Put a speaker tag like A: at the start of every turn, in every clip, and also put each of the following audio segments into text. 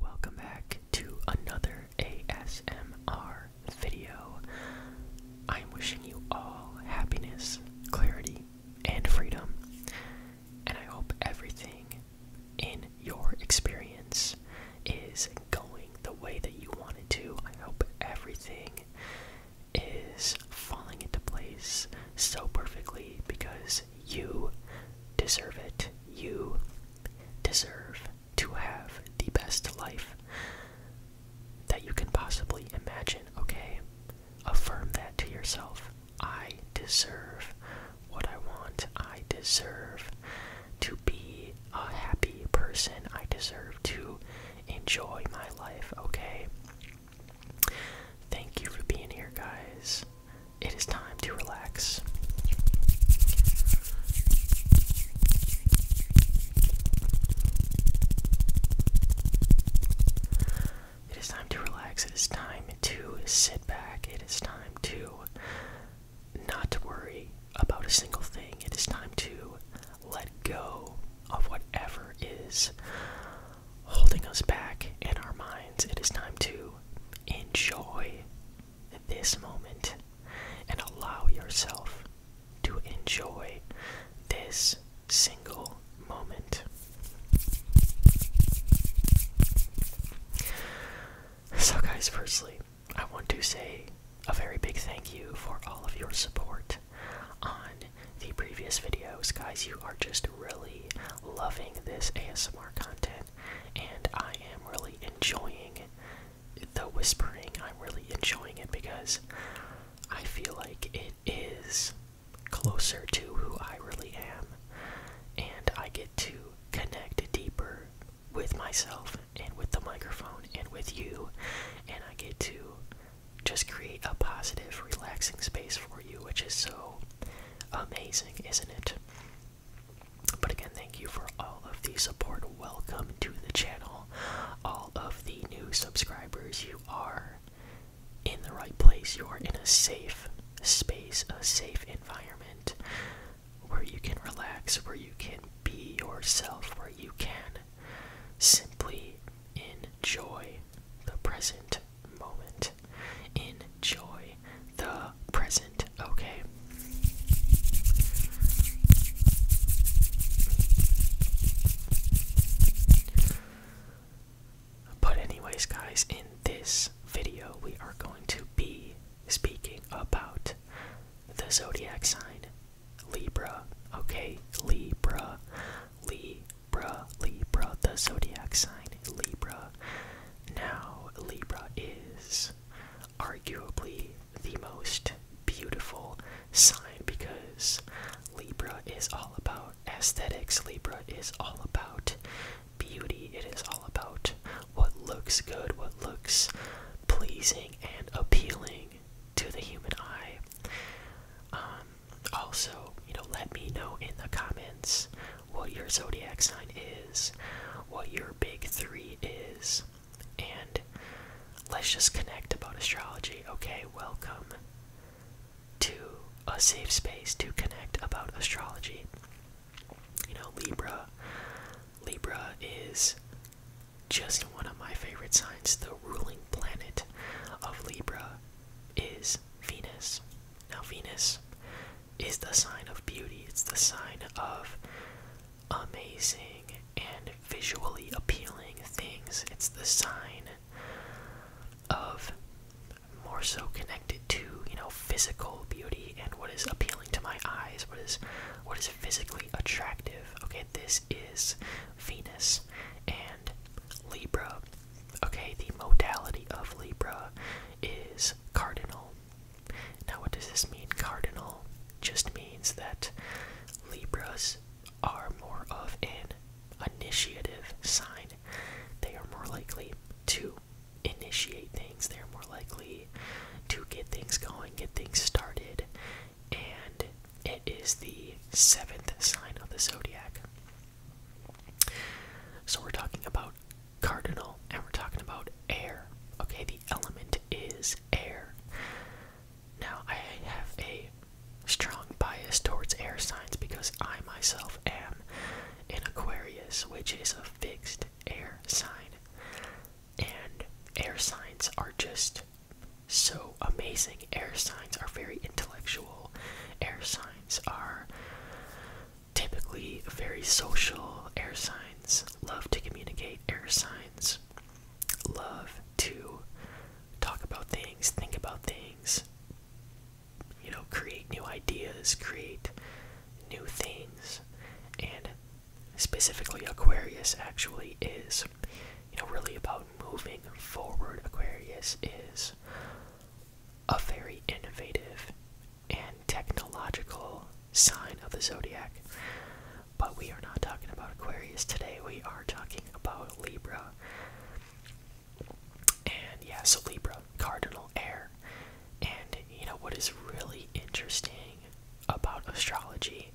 A: Welcome back to another ASMR video. I'm wishing you all happiness, clarity, and freedom. And I hope everything in your experience is going the way that you want it to. I hope everything is falling into place so perfectly because you deserve it you deserve to have the best life that you can possibly imagine, okay? Affirm that to yourself. I deserve what I want. I deserve to be a happy person. I deserve to enjoy my life, okay? Thank you for being here, guys it is time to relax. It is time to relax. It is time to sit back. It is time to not worry about a single thing. It is time to let go of whatever is holding us back in our minds. It is time to enjoy this moment and allow yourself to enjoy this single moment. So, guys, firstly, I want to say a very big thank you for all of your support on the previous videos. Guys, you are just really loving this ASMR content, and I am really enjoying the whispering. I'm really enjoying it because I feel like it is closer to who I really am, and I get to connect deeper with myself and with the microphone and with you, and I get to just create a positive, relaxing space for you, which is so Amazing, isn't it? But again, thank you for all of the support. Welcome to the channel. All of the new subscribers, you are in the right place. You are in a safe space, a safe environment where you can relax, where you can be yourself, where you can simply enjoy the present moment. Enjoy the present, okay? But, anyways, guys, in this video, we are going to be speaking about the zodiac sign Libra, okay? Libra, Libra. Libra, Libra, the zodiac sign Libra. Now, Libra is arguably the most beautiful sign because Libra is all about aesthetics, Libra is all about beauty, it is all about what looks good, what looks pleasing and appealing to the human eye. Um, also, you know, let me know in the comments what your zodiac sign is, what your big three is, and let's just connect about astrology, okay? Welcome to a safe space to connect about astrology. You know, Libra. Libra is just one of my favorite signs. The ruling planet of Libra is Venus. Now, Venus is the sign of beauty, it's the sign of amazing and visually appealing things. It's the sign of more so connected to, you know, physical beauty and what is appealing to my eyes, what is what is physically attractive. Okay, this is Venus and Libra. Okay, the modality of Libra is cardinal. Now, what does this mean? Cardinal just means that Libras are more of an initiative sign. They are more likely to initiate things, they are more likely to get things going, get things started, and it is the seventh sign of the zodiac. So we're talking about cardinal and we're talking about air. Okay, the element is air. Now, I have a strong bias towards air signs because I myself am an Aquarius, which is a fixed air sign. And air signs are just so amazing. Air signs are very intellectual. Air signs are typically very social. Air signs love to communicate. Air signs love to talk about things, think about things, you know, create new ideas, create new things. And specifically, Aquarius actually is you know, really about moving forward. Aquarius is a very innovative and technological sign of the zodiac. But we are not talking about Aquarius today, we are talking about Libra. And yeah, so Libra, cardinal air. And you know what is really interesting about astrology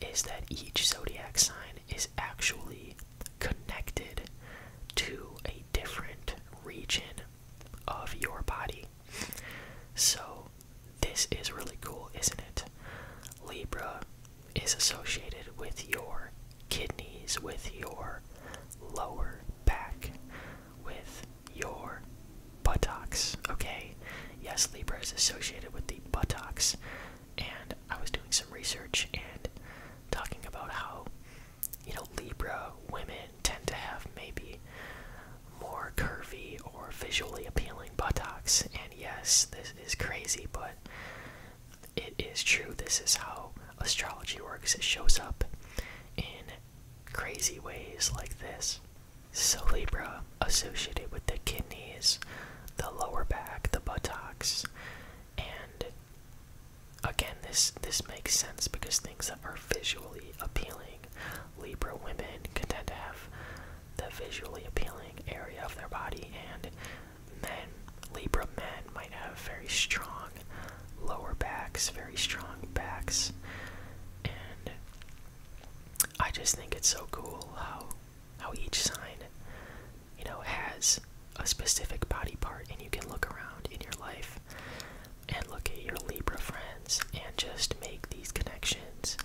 A: is that each zodiac sign is actually connected to a different region of your body. So, this is really cool, isn't it? Libra is associated with your kidneys, with your lower back, with your buttocks, okay? Yes, Libra is associated with the buttocks and I was doing some research and talking about how, you know, Libra women tend to have maybe more curvy or visually appealing buttocks. And yes, this is crazy, but it is true. This is how astrology works, it shows up in crazy ways like this. So, Libra, associated with the kidneys, the lower back, the buttocks, and again, this this makes sense because things that are visually appealing, Libra women can tend to have the visually appealing area of their body, and men, Libra men, might have very strong lower backs, very strong backs, and I just think it's so cool how how each sign, you know, has a specific body part, and you can look around in your life and look at your Libra friends and just make these connections,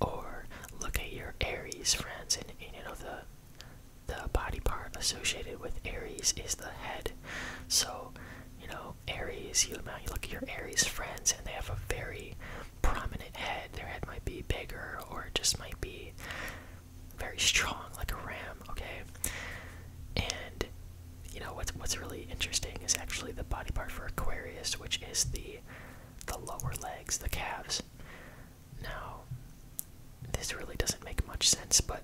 A: or look at your Aries friends and, you know the the body part associated with Aries is the head. So, you know, Aries, you look at your Aries friends and they have a very prominent head. Their head might be bigger or it just might be very strong, like a ram, okay? And you know what's what's really interesting is actually the body part for Aquarius, which is the the lower legs, the calves. Now, this really doesn't make much sense, but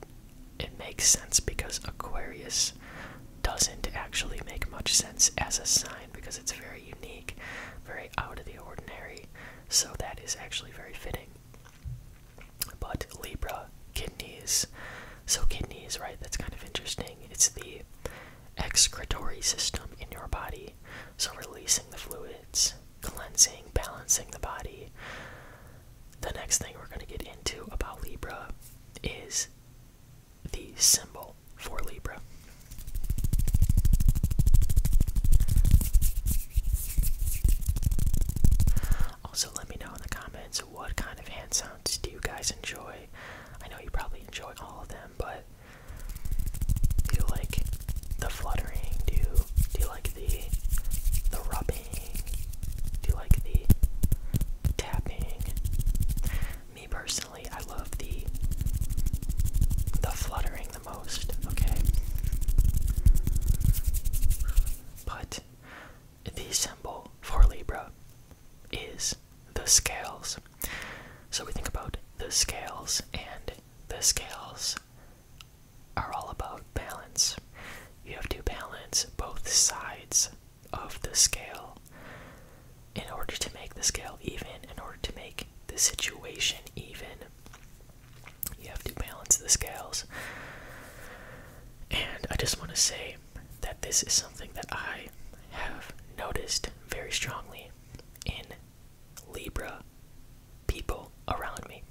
A: it makes sense because Aquarius doesn't actually make much sense as a sign because it's very unique, very out of the ordinary. So that is actually very fitting. But Libra, kidneys. So kidneys, right? That's kind of interesting. It's the excretory system in your body. So releasing the fluids, cleansing, balancing the body. The next thing we're going to get into about Libra is the symbol for Libra. Also, let me know in the comments what kind of hand sounds do you guys enjoy. I know you probably enjoy all of them, but do you like the fluttering? Do you, do you like the the rubbing? Do you like the tapping? me personally, I love the the fluttering the most, okay? But the symbol for Libra is the scales. So we think about the scales, and the scales are all about balance. You have to balance both sides of the scale in order to make the scale even, in order to make the situation even, you have to balance the scales. And I just want to say that this is something that I have noticed very strongly in Libra people around me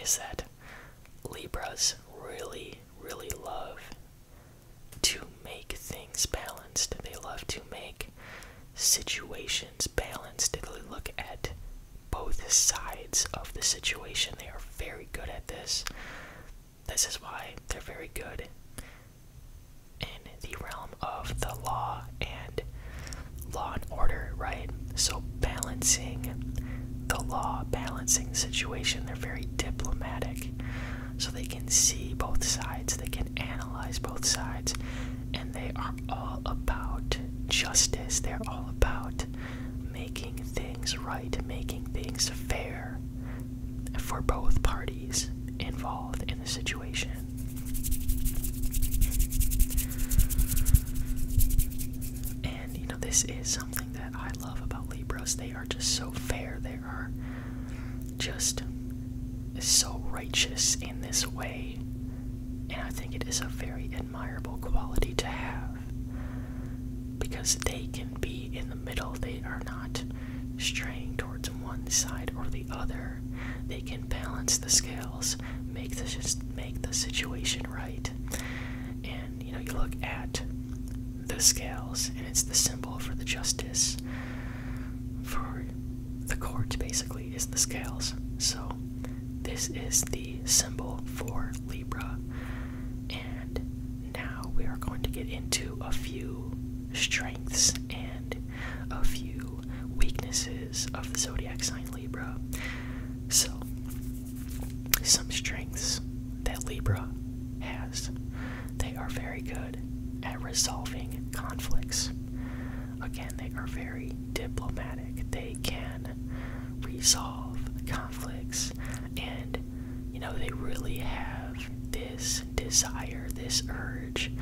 A: is that Libras really, really love to make things balanced. They love to make situations balanced. They look at both sides of the situation. They are very good at this. This is why they're very good in the realm of the law and law and order, right? So, balancing the law, balancing the situation, they're very diplomatic so they can see both sides, they can analyze both sides, and they are all about justice. They're all about making things right, making things fair for both parties involved in the situation. And you know, this is something that I love about Libras. They are just so fair. They are just so righteous in this way. And I think it is a very admirable quality to have because they can be in the middle, they are not straying towards one side or the other. They can balance the scales, make the, make the situation right. And you know, you look at the scales, and it's the symbol for the justice for the court, basically, is the scales. So, this is the symbol for Libra. And now we are going to get into a few strengths and a few weaknesses of the zodiac sign Libra. So, some strengths that Libra has they are very good at resolving conflicts. Again, they are very diplomatic. They can resolve conflicts and you know they really have this desire, this urge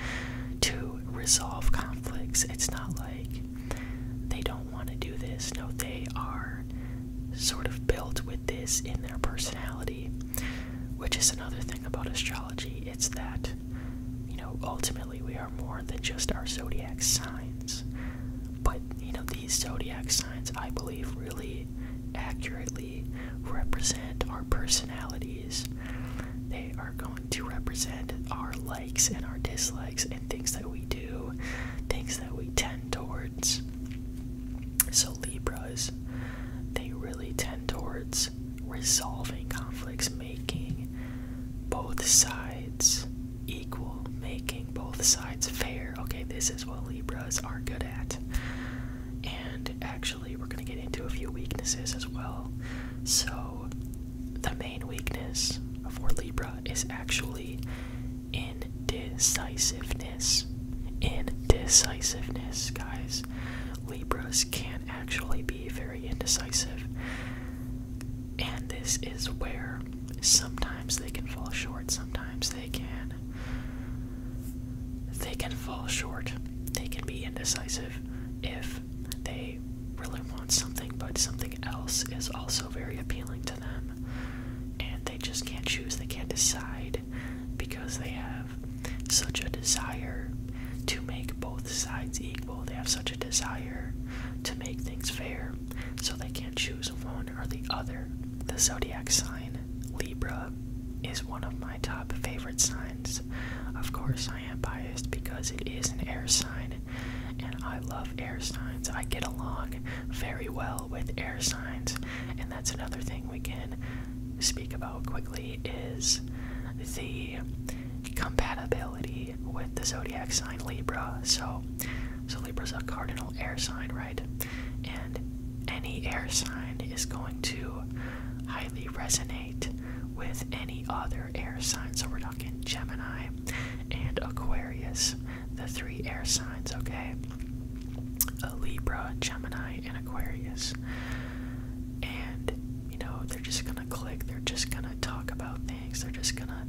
A: to resolve conflicts. It's not like they don't want to do this. No, they are sort of built with this in their personality, which is another thing about astrology. It's that, you know, ultimately we are more than just our zodiac signs. But, you know, these zodiac signs, I believe, really accurately represent our personalities. They are going to represent our likes and our dislikes and things that we do, things that we tend towards. So, Libras, they really tend towards resolving conflicts, making both sides equal, making both sides fair. Okay, this is what Libras are good at. And actually, we're going to get into a few weaknesses as well. So, the main weakness for Libra is actually in Indecisiveness. Indecisiveness, guys. Libras can actually be very indecisive. And this is where sometimes they can fall short, sometimes they can they can fall short. They can be indecisive if they really want something, but something else is also very appealing to them. And they just can't choose, they can't decide because they have such a desire to make both sides equal. They have such a desire to make things fair, so they can't choose one or the other. The zodiac sign Libra is one of my top favorite signs. Of course, I am biased because it is an air sign, and I love air signs. I get along very well with air signs, and that's another thing we can speak about quickly is the compatibility with the zodiac sign Libra. So, so Libra's a cardinal air sign, right? And any air sign is going to highly resonate with any other air sign. So we're talking Gemini and Aquarius the three air signs, okay? A Libra, Gemini, and Aquarius. And, you know, they're just gonna click, they're just gonna talk about things, they're just gonna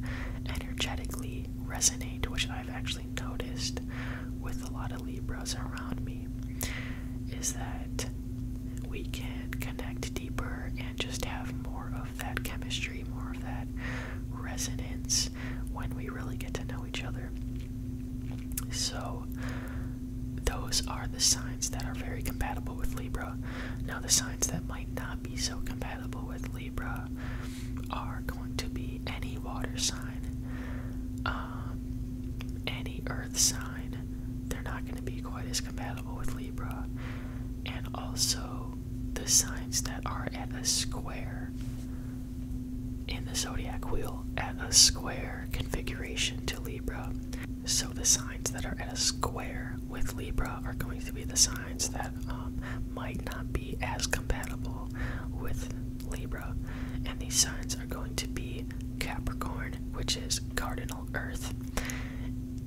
A: energetically resonate, which I've actually noticed with a lot of Libras around me, is that we can connect deeper and just have more of that chemistry, more of that resonance when we really get to know each other. So, those are the signs that are very compatible with Libra. Now, the signs that might not be so compatible with Libra are going to be any water sign, um, any earth sign. They're not going to be quite as compatible with Libra. And also, the signs that are at a square in the zodiac wheel at a square configuration to Libra. So the signs that are at a square with Libra are going to be the signs that um, might not be as compatible with Libra. And these signs are going to be Capricorn, which is cardinal Earth,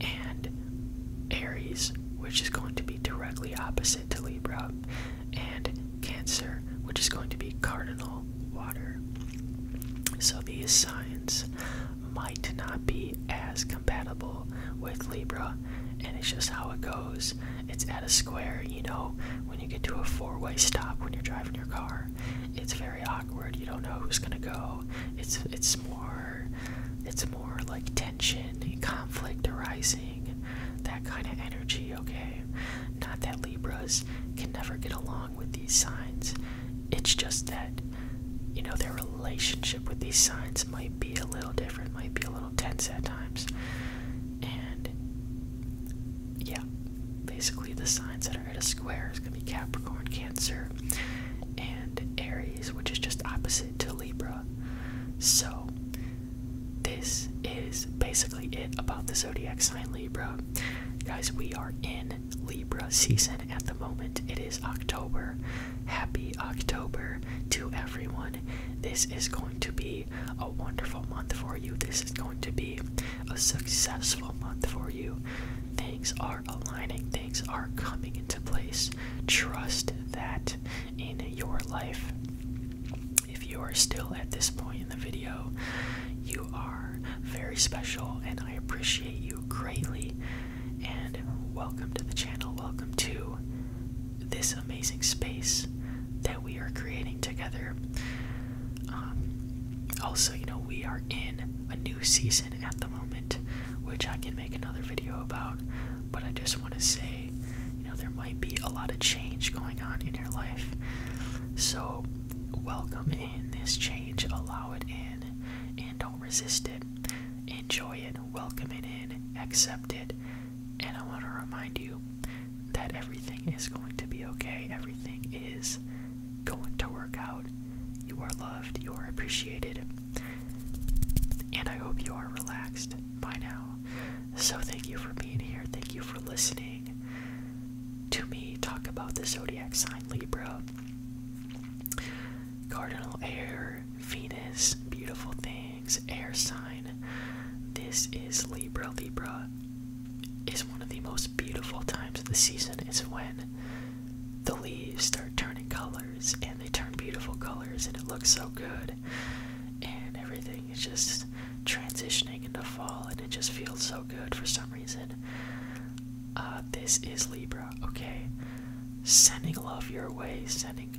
A: and Aries, which is going to be directly opposite to Libra and Cancer, which is going to be cardinal water. So these signs might not be as compatible with Libra, and it's just how it goes. It's at a square, you know, when you get to a four way stop when you're driving your car, it's very awkward. You don't know who's gonna go. It's it's more it's more like tension and conflict arising, that kind of energy, okay? Not that Libras can never get along with these signs. It's just that, you know, their relationship with these signs might be a little different, might be a little tense at times. And yeah, basically the signs that are at a square is going to be Capricorn, Cancer, and Aries, which is just opposite to Libra. So this is basically it about the zodiac sign Libra. Guys, we are in Libra season at the moment. It is October. Happy October to everyone. This is going to be a wonderful month for you. This is going to be a successful month for you. Things are aligning, things are coming into place. Trust that in your life. If you are still at this point in the video, you are very special and I appreciate you greatly. And welcome to the channel. Welcome to this amazing space that we are creating together. Um, also, you know, we are in a new season at the moment, which I can make another video about but I just want to say, you know, there might be a lot of change going on in your life. So welcome in this change, allow it in, and don't resist it. Enjoy it, welcome it in, accept it. And I want to remind you that everything is going to be okay, everything is going to work out. You are loved, you are appreciated, and I hope you are relaxed by now. So thank you for being here. Thank you for listening to me talk about the zodiac sign Libra. Cardinal air, Venus, beautiful things, air sign. This is Libra. Libra is one of the most beautiful times of the season is when the leaves start turning colors and they turn beautiful colors and it looks so good and everything is just transitioning into fall and it just feels so good for some reason uh, this is libra okay sending love your way sending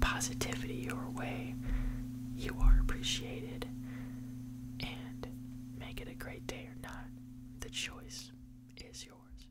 A: positivity your way you are appreciated and make it a great day or not the choice is yours